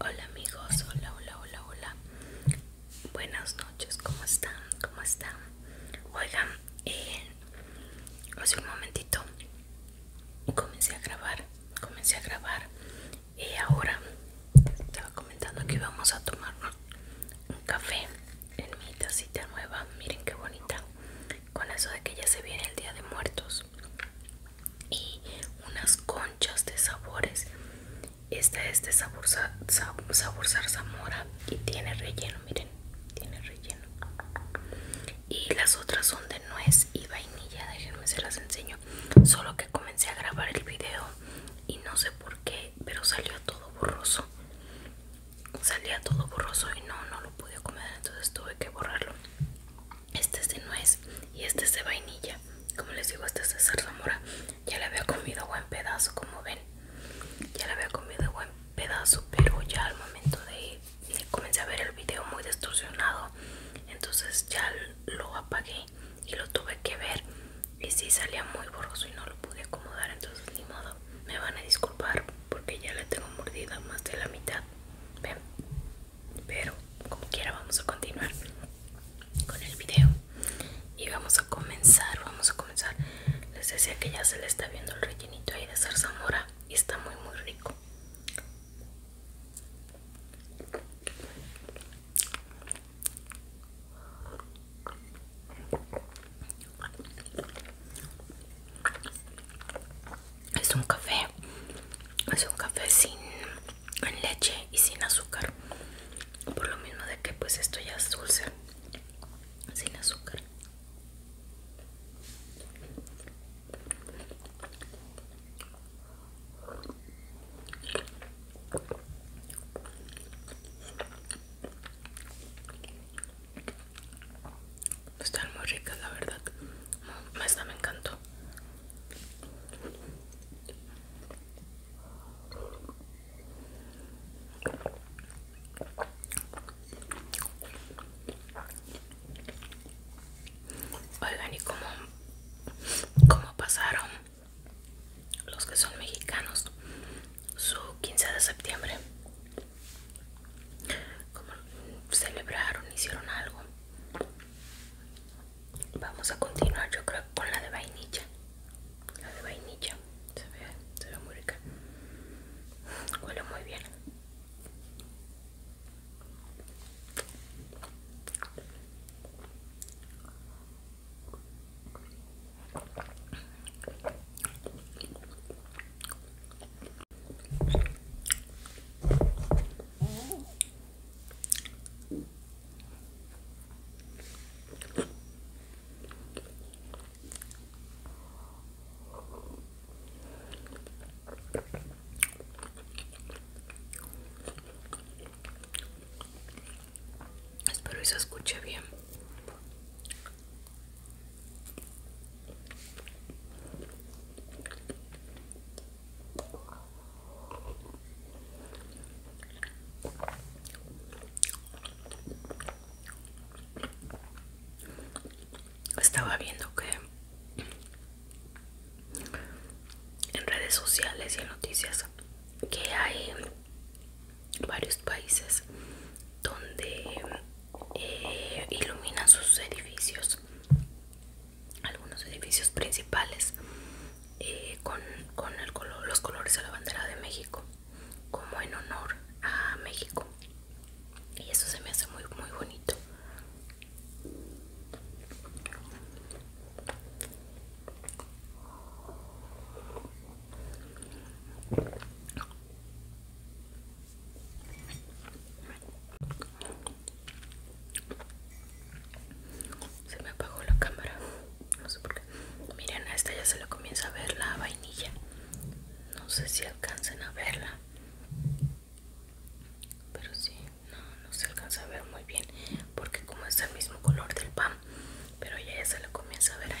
Hola amigos, hola, hola, hola, hola. Buenas noches, ¿cómo están? ¿Cómo están? Oigan, eh, hace un momentito comencé a grabar, comencé a grabar y ahora estaba comentando que íbamos a tomar un café en mi tacita nueva, miren qué bonita, con eso de que ya se viene el día de muertos y unas conchas de sabores. Esta es de sabor, sabor, sabor zarzamora y tiene relleno, miren, tiene relleno. Y las otras son de nuez y vainilla, déjenme se las enseño. Solo que comencé a grabar el video y no sé por qué, pero salió todo borroso. Salía todo borroso y no, no lo pude comer, entonces tuve que borrarlo este es de nuez y este es de vainilla como les digo este es de zarzamora ya la había comido buen pedazo como ven ya la había comido buen pedazo pero ya al momento de, ir eh, comencé a ver el video muy distorsionado entonces ya lo apagué y lo tuve que ver y sí, salía muy borroso y no lo pude acomodar entonces ni modo me van a disculpar porque ya la tengo mordida más de la mitad ven pero como quiera vamos a continuar con el video y vamos a comenzar vamos a comenzar les decía que ya se le está viendo el rellenito ahí de zarzamora y está muy muy rico es un café es un café sin en leche y sin azúcar por lo mismo de que pues esto ya es dulce sin azúcar están muy ricas la verdad esta me encantó Oigan, ¿y cómo, cómo pasaron los que son mexicanos su 15 de septiembre? celebraron? ¿Hicieron algo? Vamos a continuar yo creo con la de vainilla. La de vainilla. Se ve, se ve muy rica. Huele muy bien. Espero que se escuche bien. Estaba viendo que en redes sociales y en noticias que hay varios países donde eh, iluminan sus edificios algunos edificios principales eh, con, con el los colores de la bandera de México como en honor a México y eso se me hace muy muy bonito se me apagó la cámara. No sé por qué. Miren, a esta ya se le comienza a ver la vainilla. No sé si alcancen a verla. Pero sí, no, no se alcanza a ver muy bien. Porque como es el mismo color del pan. Pero ya, ya se le comienza a ver ahí.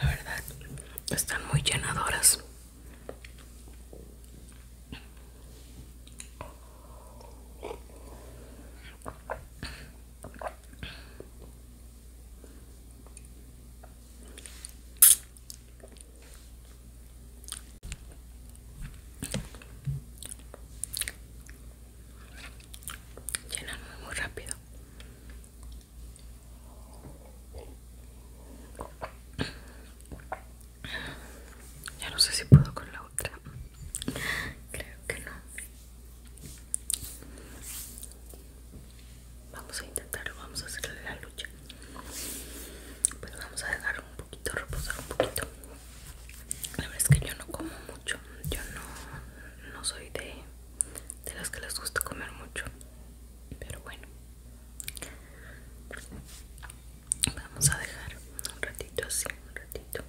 La verdad, están muy llenadoras llenan muy, rápido ya no sé si puedo con la otra creo que no vamos a intentarlo vamos a hacerle la lucha pero vamos a dejar un poquito reposar un poquito la verdad es que yo no como mucho, yo no, soy de, de las que les gusta comer mucho, pero bueno, vamos a dejar un ratito así, un ratito.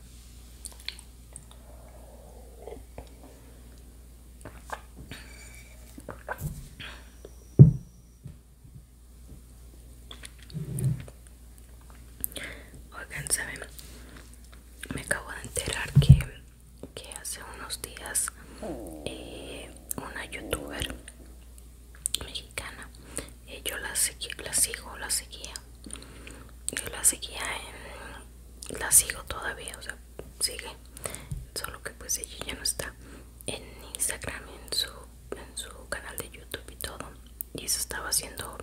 Oigan, saben, me acabo de enterar que, hace unos días eh, una youtuber mexicana eh, yo la, la sigo la seguía yo la seguía en, la sigo todavía o sea sigue solo que pues ella ya no está en Instagram en su en su canal de YouTube y todo y se estaba haciendo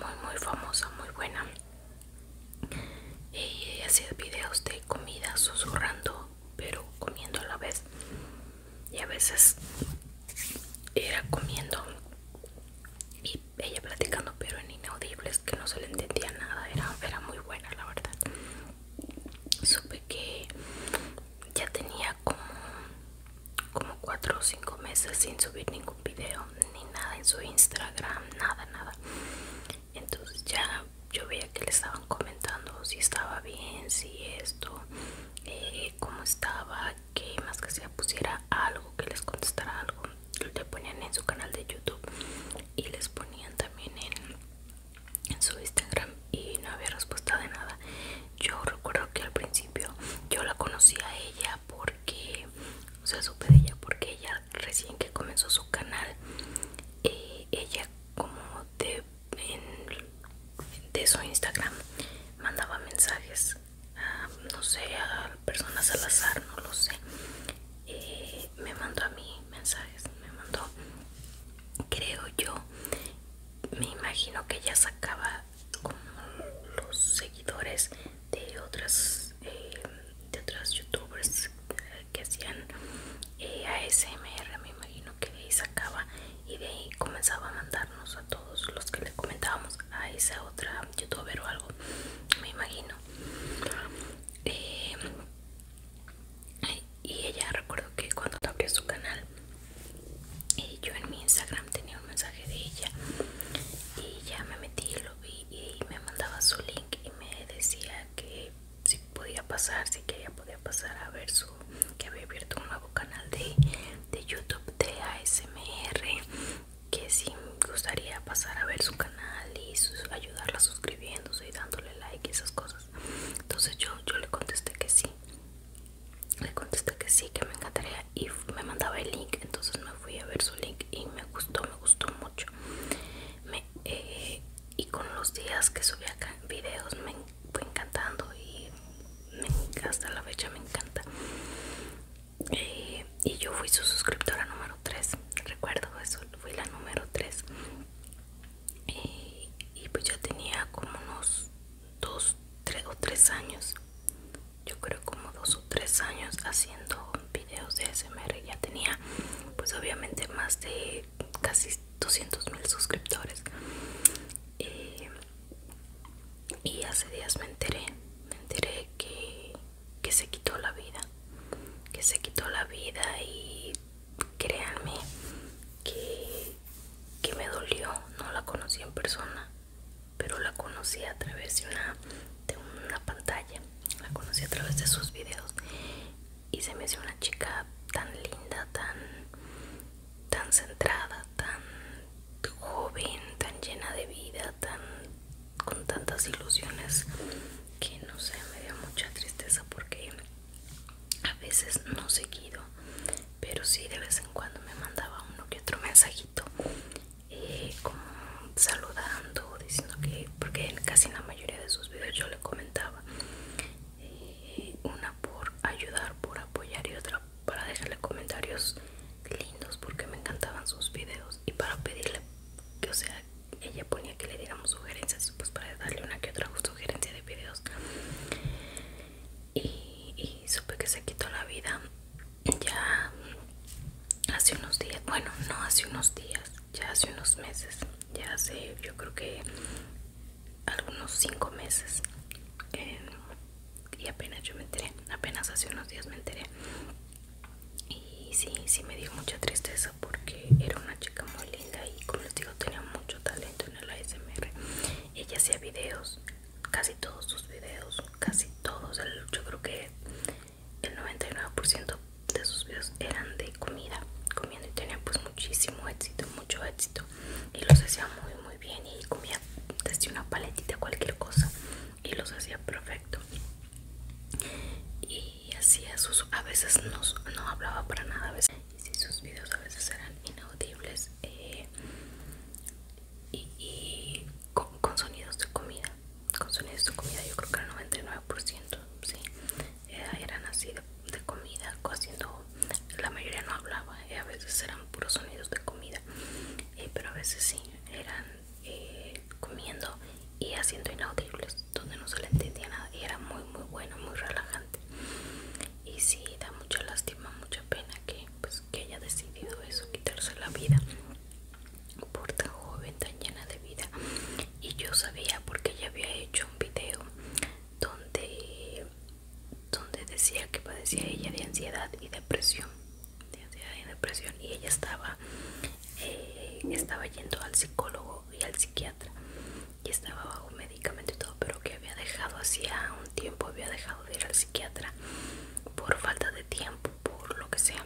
muy muy famosa muy buena ella hacía videos de comida susurrando, pero comiendo a la vez. Y a veces era comiendo y ella platicando, pero en inaudibles que no se le entendía nada. Era, era muy buena, la verdad. Supe que ya tenía como como 4 o 5 meses sin subir ningún video ni nada en su Instagram, nada, nada. Entonces ya yo veía que le estaban comentando si estaba bien, si esto, eh, cómo estaba, que más que sea pusiera algo, que les contestara algo. Le ponían en su canal de YouTube y les ponían también en su Instagram y no había respuesta de nada. Yo recuerdo que al principio yo la conocí a ella porque o sea supe de ella porque ella recién que comenzó su canal eh, ella como de, su Instagram mandaba mensajes a, no sé a personas al azar no lo sé eh, me mandó a mí mensajes me mandó creo yo me imagino que ella sacaba como los seguidores de otras eh, de otras youtubers que hacían eh, ASMR me imagino que de ahí sacaba y de ahí comenzaba a mandarnos a todos los que le comentábamos a esa otra youtuber o algo me imagino eh, y ella recuerdo que cuando abrió su canal yo en mi Instagram tenía un mensaje de ella y ya me metí y me mandaba su link y me decía que si podía pasar, si quería podía pasar a ver su que había abierto un nuevo canal de, de YouTube de ASMR que si gustaría pasar a ver su canal y ayudarla suscribiéndose y dándole like y esas cosas entonces yo, yo le contesté que sí le contesté que sí, que me encantaría y me mandaba el link entonces me fui a ver su link y me gustó me gustó mucho eh, y con los días que subía acá videos me fue encantando y hasta la fecha me encanta eh, y yo fui su suscriptora número 3 recuerdo eso fui la número 3 eh, y, pues ya tenía como unos 2 o 3 años yo creo como dos o tres años haciendo videos de SMR ya tenía pues obviamente más de casi 200 mil suscriptores y hace días me enteré me enteré que, se quitó la vida que se quitó la vida y créanme que, que me dolió no la conocí en persona pero la conocí a través de una, pantalla, la conocí a través de sus videos y se me hizo una chica tan linda, tan, tan centrada, tan joven, tan llena de vida, con tantas ilusiones que no sé, me dio mucha tristeza porque a veces no seguido, pero sí de vez en cuando me mandaba uno que otro mensajito y eh, como saludando, diciendo que, porque en casi en la mayoría de sus videos yo le comentaba, eh, una por ayudar, por apoyar y otra para dejarle comentarios lindos porque me encantaban sus videos y para pedirle que, o sea, ella ponía que le diéramos sugerencias, pues para darle una que otra sugerencia de videos. Y, y supe que se quitó la vida ya hace unos días, bueno, no hace unos días, ya hace unos meses, ya hace yo creo que algunos cinco meses eh, y apenas yo me enteré, apenas hace unos días me enteré y sí, sí me dio mucha tristeza porque era una chica muy linda y como les digo tenía mucho talento en el ASMR, ella hacía videos casi todos sus videos, casi todos, el, yo creo que el 99% de sus videos eran de comida, comiendo y tenía pues muchísimo éxito, mucho éxito y los hacía muy muy bien y comía desde una paletita cualquier cosa y los hacía perfecto y hacía sus a veces no, hablaba para nada a veces y si sus videos a veces eran inaudibles eh, y con, sonidos de comida con sonidos de comida yo creo que el 99% sí eh, eran así de, comida haciendo la mayoría no hablaba eh, a veces eran puros sonidos de comida eh, pero a veces sí eran comiendo y haciendo inaudibles donde no se le entendía nada y era muy muy bueno muy relajante y sí da mucha lástima mucha pena que pues que haya decidido eso quitarse la vida por tan joven, tan llena de vida. Y yo sabía porque ella había hecho un video donde, donde decía que padecía ella de ansiedad y depresión. y depresión. Y ella estaba, eh, estaba yendo al psicólogo y al psiquiatra. Y estaba bajo medicamento y todo, pero que había dejado hacía un tiempo, había dejado de ir al psiquiatra por falta de tiempo, por lo que sea,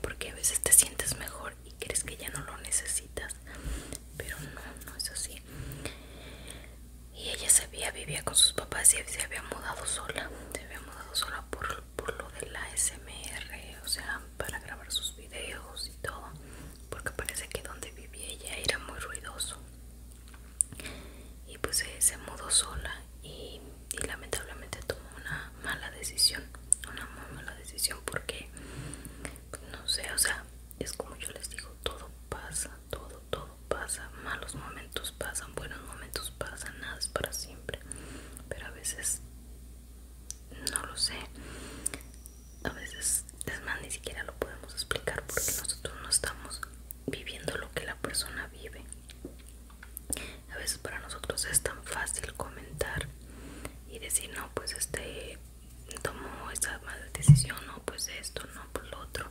porque a veces te sientes mejor y crees que ya no lo necesitas, pero no, no es así. Y ella se había, vivía con sus papás y se había mudado sola, se había mudado sola por, por lo de la SMR, o sea, para grabar sus videos y todo, porque parece que donde vivía ella era muy ruidoso. Y pues eh, se, mudó sola y y lamentablemente tomó una mala decisión una muy mala decisión porque pues, no sé o sea es como yo les digo todo pasa todo todo pasa malos momentos pasan buenos momentos pasan nada es para siempre pero a veces no lo sé a veces es más ni siquiera lo podemos explicar porque nosotros no estamos viviendo lo que la persona vive a veces para nosotros es tan fácil comentar y decir no pues este tomó esa mala decisión no pues esto no pues lo otro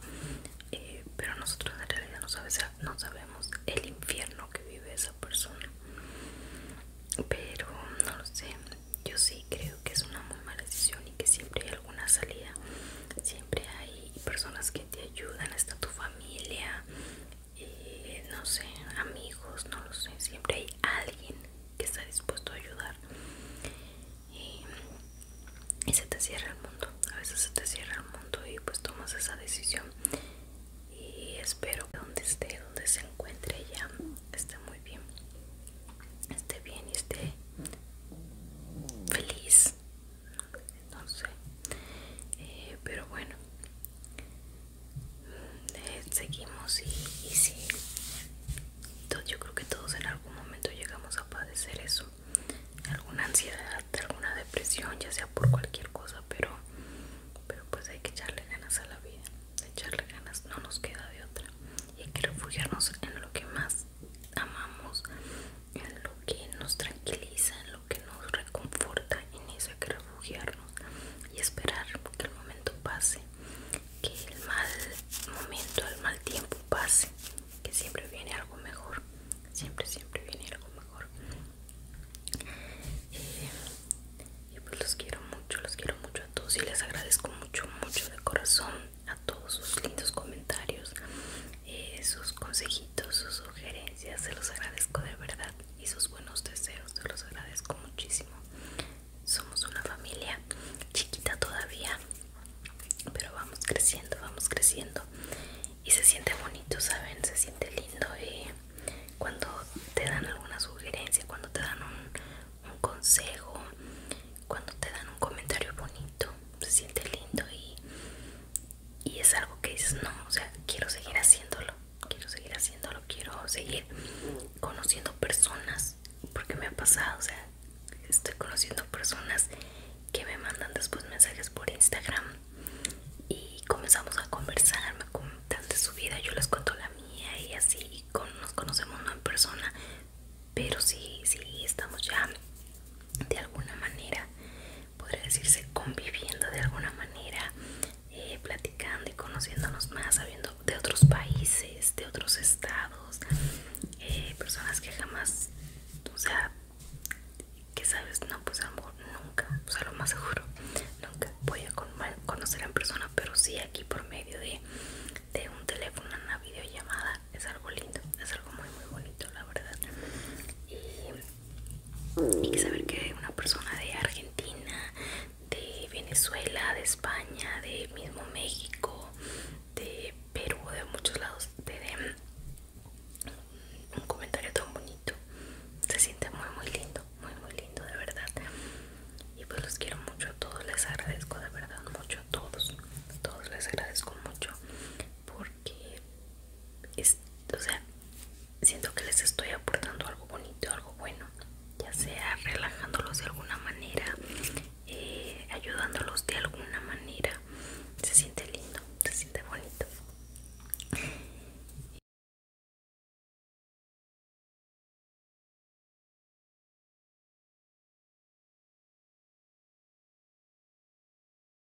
eh, pero nosotros en realidad no, no sabemos el infierno que vive esa persona pero no lo sé yo sí creo que es una muy mala decisión y que siempre hay alguna salida siempre hay personas que te ayudan, está tu familia, eh, no sé, amigos, no lo sé, siempre hay alguien que está dispuesto a ayudar. Y, y se te cierra el mundo, a veces se te cierra el mundo y pues tomas esa decisión. Y espero que donde esté, donde se encuentre ella, esté muy bien, esté bien y esté feliz no sé eh, pero bueno mm, eh, seguimos y, sí yo creo que todos en algún momento llegamos a padecer eso alguna ansiedad alguna depresión ya sea por cualquier cosa pero pero pues hay que echarle ganas a la vida echarle ganas no nos queda de otra y hay que refugiarnos en lo que más amamos en lo que nos tranquiliza, en lo que nos reconforta, en eso hay que refugiarnos y esperar que el momento pase, que el mal momento, el mal tiempo pase, que siempre viene algo mejor, siempre, siempre viene algo mejor. Y, eh, y pues los quiero mucho, los quiero mucho a todos y les agradezco mucho, mucho de corazón a todos sus lindos comentarios eh, sus consejitos, sus sugerencias, se los agradezco de verdad y sus buenos deseos, se los agradezco muchísimo. Somos una familia chiquita todavía, pero vamos creciendo, vamos creciendo y se siente bonito, ¿saben? Se siente lindo y eh, cuando te dan alguna sugerencia, cuando te dan un consejo, cuando te dan un comentario bonito, se siente lindo y y es algo que dices, no, o sea, quiero seguir haciéndolo, quiero seguir haciéndolo, quiero seguir conociendo personas, porque me ha pasado, o sea, estoy conociendo personas que me mandan después mensajes por Instagram y comenzamos a conversar, me comentan de su vida, yo les cuento la mía y así nos conocemos no en persona, pero sí, sí, estamos ya de alguna manera podría decirse conviviendo de alguna manera, eh, platicando y conociéndonos más, sabiendo de otros países, de otros estados, eh, personas que jamás, o sea, que sabes, no, pues a nunca, o sea, lo más seguro, nunca voy a conocer en persona, pero sí aquí por medio de, de un teléfono, una videollamada, es algo lindo, es algo muy, muy bonito, la verdad. Y que saber que una persona de Argentina, de Venezuela, de España, de mismo México, de Perú, de muchos lados, te den un comentario tan bonito. Se siente muy, muy lindo, muy, muy lindo, de verdad. Y pues los quiero mucho a todos, les agradezco de verdad mucho a todos. todos les agradezco mucho por que o sea, siento que les estoy aportando algo bonito, algo bueno, ya sea relajándolos de alguna manera, eh, ayudándolos de alguna manera. Se siente lindo, se siente bonito.